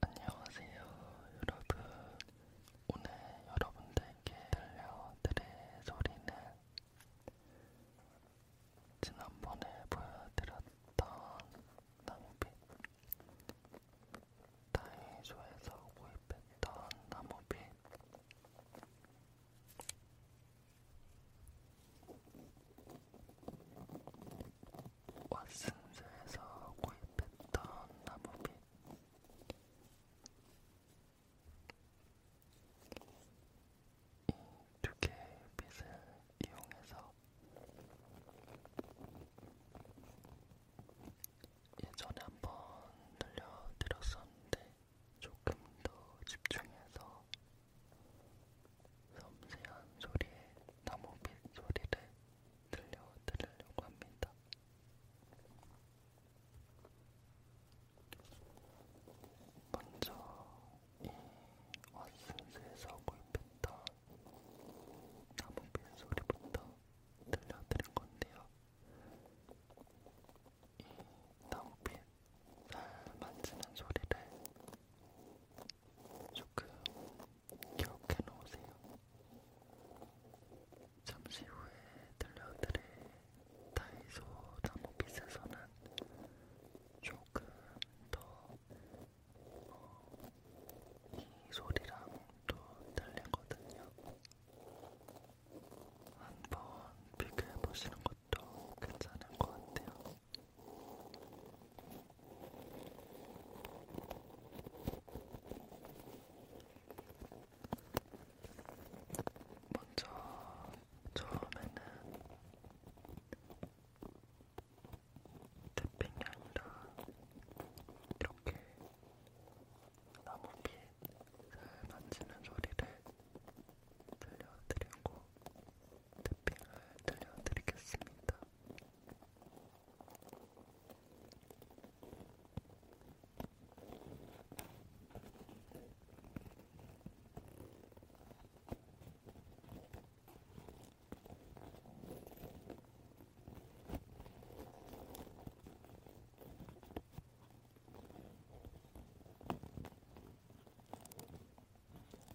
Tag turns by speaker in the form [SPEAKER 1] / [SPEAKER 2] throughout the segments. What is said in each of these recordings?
[SPEAKER 1] 안녕하세요 여러분 오늘 여러분들께 들려드릴 소리는 지난번에 보여드렸던 나무빛 다이소에서 구입했던 나무빛 왓슨스에서 구입했던 나무빗 이두 개의 빗을 이용해서 예전에 한번 들려드렸었는데 조금 더 집중해서 섬세한 소리에 나무빛 소리를 들려드리려고 합니다. 먼저 이 왓슨스에서 구입했던 나무빛 소리부터 들려드릴 건데요. 이 나무빛 만지는 소리를 조금 기억해 놓으세요. 잠시 후에 들려드릴 다이소 나무빗에서는 조금 더이 어, 소리랑 또 달리거든요. 한번 비교해 보시는 것도 괜찮을 것 같아요. 먼저 처음에는 태핑이 아니라 이렇게 나무빛을 만지는 소리를 들려드리고 탭핑을 들려드리겠습니다.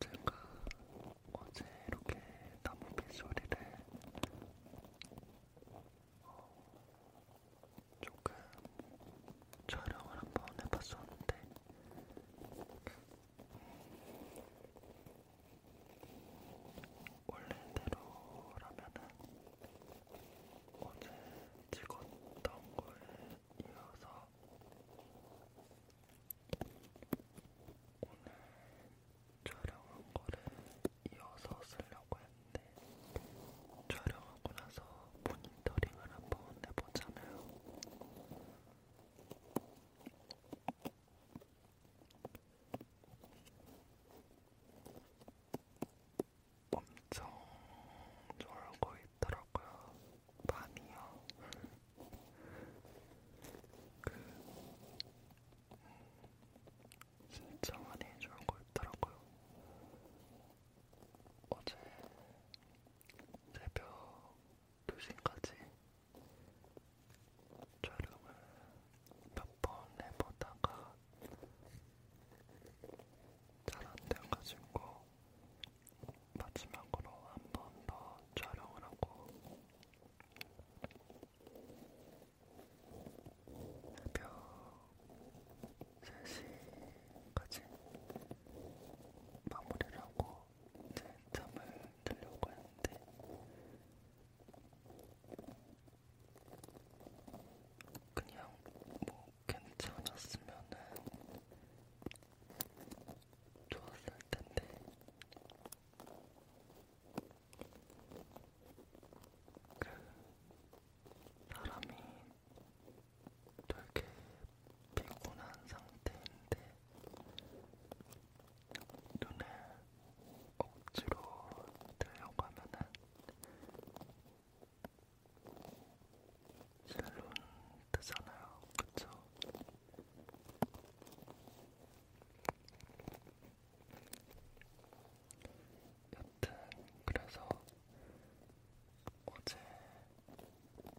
[SPEAKER 1] 제가 어제 이렇게 나무빛 소리를 어, 조금 촬영을 한번 해봤었는데 원래대로라면은 어제 찍었던 거에 이어서 오늘 촬영한 거를 이어서 쓰려고 했는데 촬영하고 나서 모니터링을 한 번 해보잖아요. 엄청 졸고 있더라고요. 밤이요. 그 음, 진짜 많이 좋은 거 있더라고요. 어제 새벽 2시까지 촬영을 몇 번 해보다가 잘안 돼가지고 마지막으로 한 번 더 촬영을 하고 새벽 3시까지 마무리를 하고 이제 잠을 들려고 했는데 그냥 뭐 괜찮았으면은 좋았을 텐데. 그 사람이 되게 피곤한 상태인데 눈을 억지로 들려고 하면은 실눈 뜨잖아요, 그쵸? 여튼 그래서 어제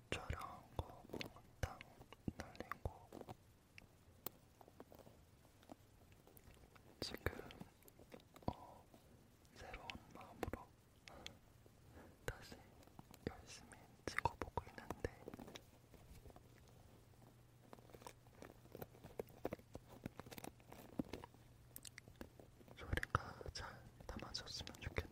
[SPEAKER 1] 촬영한 거 몽땅 날린 거 지금 어 새로운 마음으로 다시 열심히 찍어보고 있는데 소리가 잘 담아졌으면 좋겠네요.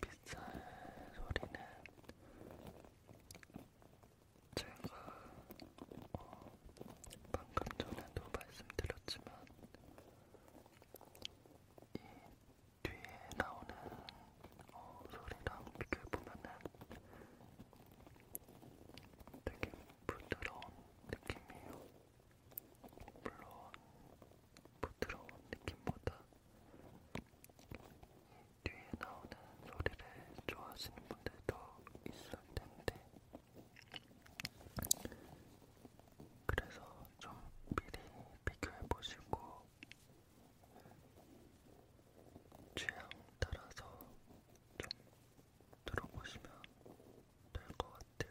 [SPEAKER 1] 빗살 소리는 제가 어, 방금 전에도 말씀드렸지만 이 뒤에 나오는 어, 소리랑 비교해보면은 되게 부드러운 느낌이에요. 물론 부드러운 느낌보다 뒤에 나오는 소리를 좋아하시는 분들도 있을 텐데, 그래서 좀 미리 비교해보시고 취향 따라서 좀 들어보시면 될 것 같아요.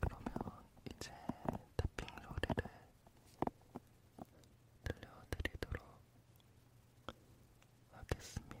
[SPEAKER 1] 그러면 이제 탭핑 소리를 들려드리도록 하겠습니다.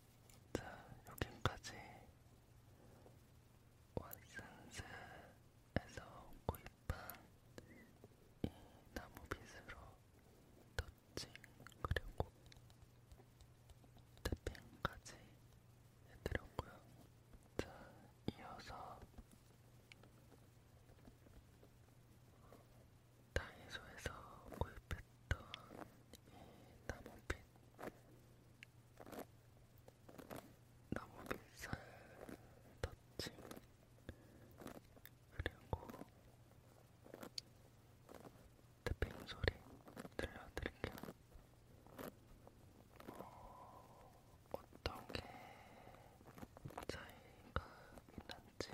[SPEAKER 1] 자, 여기까지 왓슨스에서 구입한 이 나무빗으로 터칭 그리고 태핑까지 해드렸고요. 자, 이어서 다이소에서 구입했던 나무빛 나무빛살 터치 그리고 태핑 소리 들려드릴게요. 어, 어떤 게 차이가 있는지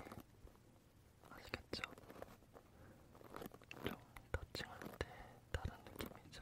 [SPEAKER 1] 아시겠죠? 좀 터칭할 때 다른 느낌이죠.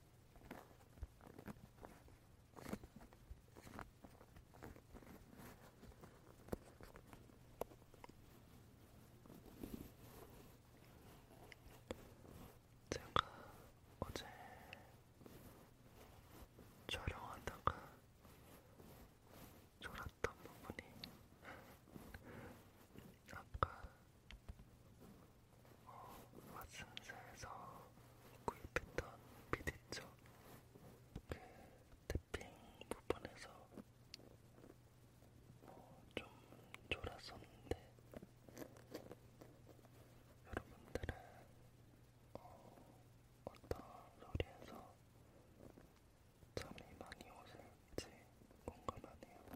[SPEAKER 1] 제가 어제 촬영하다가 졸았던 부분이 아까 어, 마신즈에서 구입했던 비드 있죠? 그 태핑 부분에서 뭐좀 졸았었는데 여러분들은 어, 어떤 소리에서 잠이 많이 오실지 궁금하네요.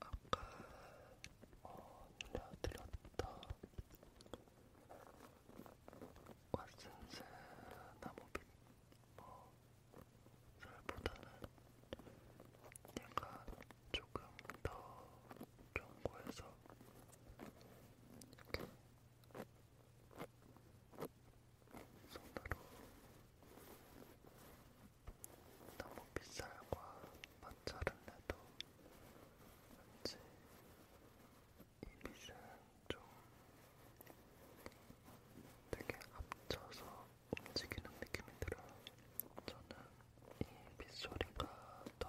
[SPEAKER 1] 아까 어, 들려드렸던 왓슨스 나무빛 뭐 설보다는 약간 조금 더 견고해서 이렇게 손으로 너무 빗살과 마찰을 해도 왠지 이 빛은 좀 되게 합쳐서 움직이는 느낌이 들어요. 저는 이 빗소리가 더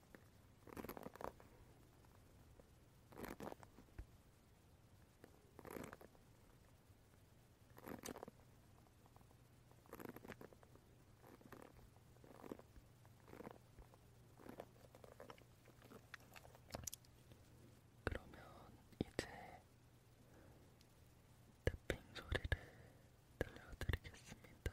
[SPEAKER 1] 그러면 이제 탭핑 소리를 들려드리겠습니다.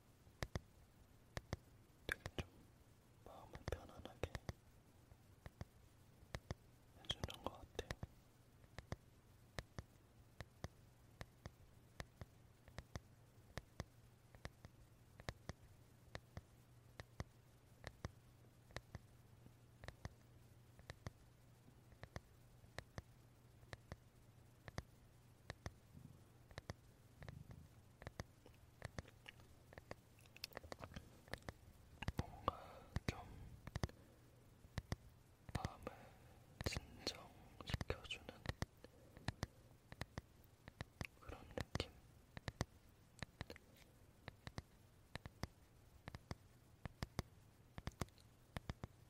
[SPEAKER 1] 되게 좀 마음을 편안하게 해주는 것 같아요. 뭔가 좀 마음을 진정시켜주는 그런 느낌?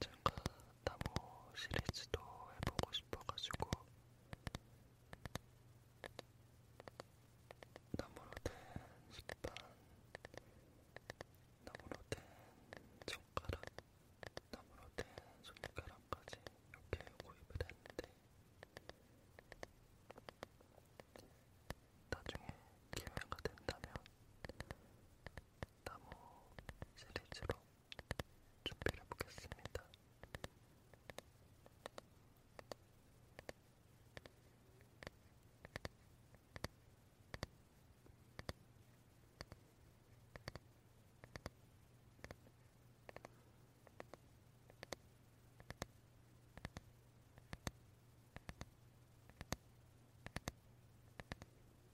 [SPEAKER 1] 제가 나무 시리즈도 해보고 싶어가지고 나무로 된 식판, 나무로 된 젓가락, 나무로 된 손가락까지 이렇게 구입을 했는데 나중에 기회가 된다면 나무 시리즈로 준비를 해보겠습니다. 음,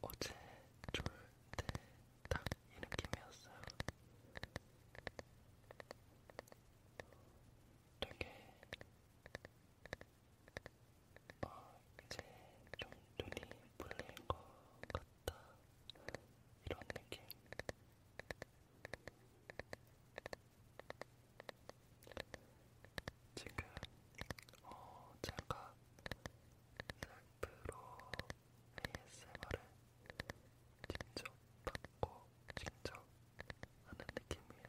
[SPEAKER 1] 어제 졸때딱 이 느낌이었어요. 되게 어, 이제 좀 눈이 풀릴 것 같다 이런 느낌. 지금 어, 제가 셀프로 ASMR을 직접 받고 직접 하는 느낌이에요.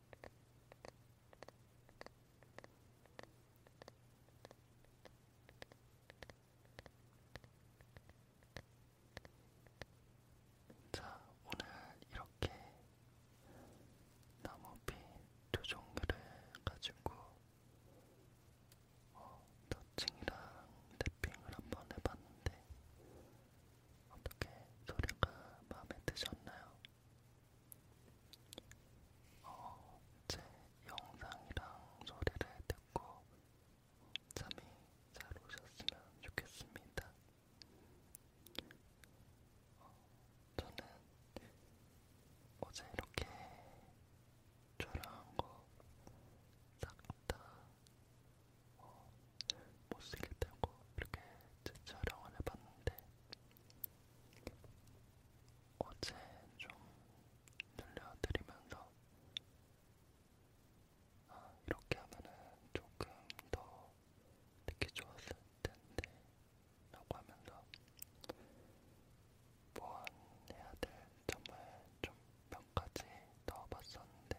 [SPEAKER 1] 자, 오늘 이렇게 나무빛 두 종류를 가지고 어, 더칭이랑 랩핑을 한 번 해봤는데 어떻게 소리가 마음에 드셨나요? 어, 제 영상이랑 소리를 듣고 잠이 잘 오셨으면 좋겠습니다. 어, 저는 어제 이렇게 촬영한 거 싹다 어, 못쓰겠다고 이렇게 촬영을 해봤는데 어제 좀 들려드리면서 아, 이렇게 하면은 조금 더 듣기 좋았을 텐데 라고 하면서 보완해야 될 점을 좀몇 가지 넣어봤었는데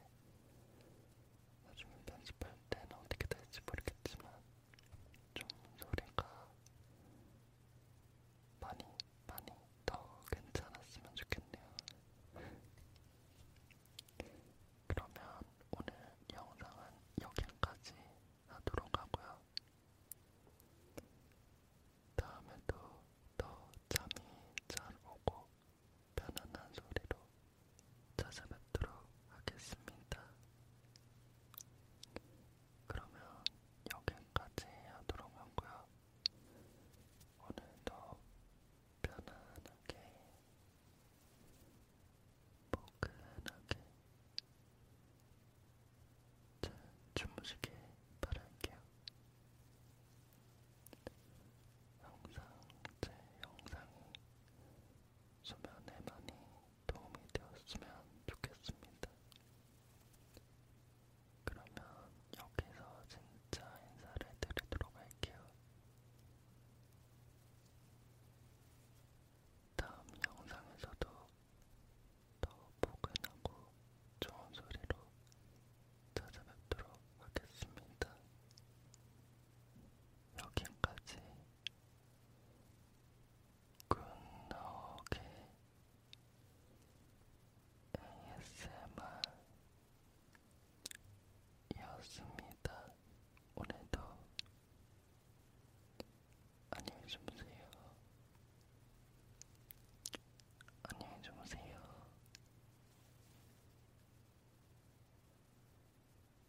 [SPEAKER 1] 나중에 편집할 때는 어떻게 될지 모르겠지만 좀 소리가 많이 많이 더 괜찮았으면 좋겠네요. 그러면 오늘 영상은 여기까지 하도록 하고요. 다음에도 더 잠이 잘 오고 편안한 소리로 찾아뵙도록 하겠습니다. 그러면 여기까지 하도록 하고요. 오늘도 편안하게, 포근하게 잘 주무시길 바랄게요. 항상 제 영상이 소면에 많이 도움이 되었으면 좋겠습니다. 그러면 여기서 진짜 인사를 드리도록 할게요. 다음 영상에서도 더 포근하고 좋은 소리로 찾아뵙도록 하겠습니다. 여기까지 끝나오게 ASMR이었습니다. 오늘도 안녕히 주무세요. 안녕히 주무세요.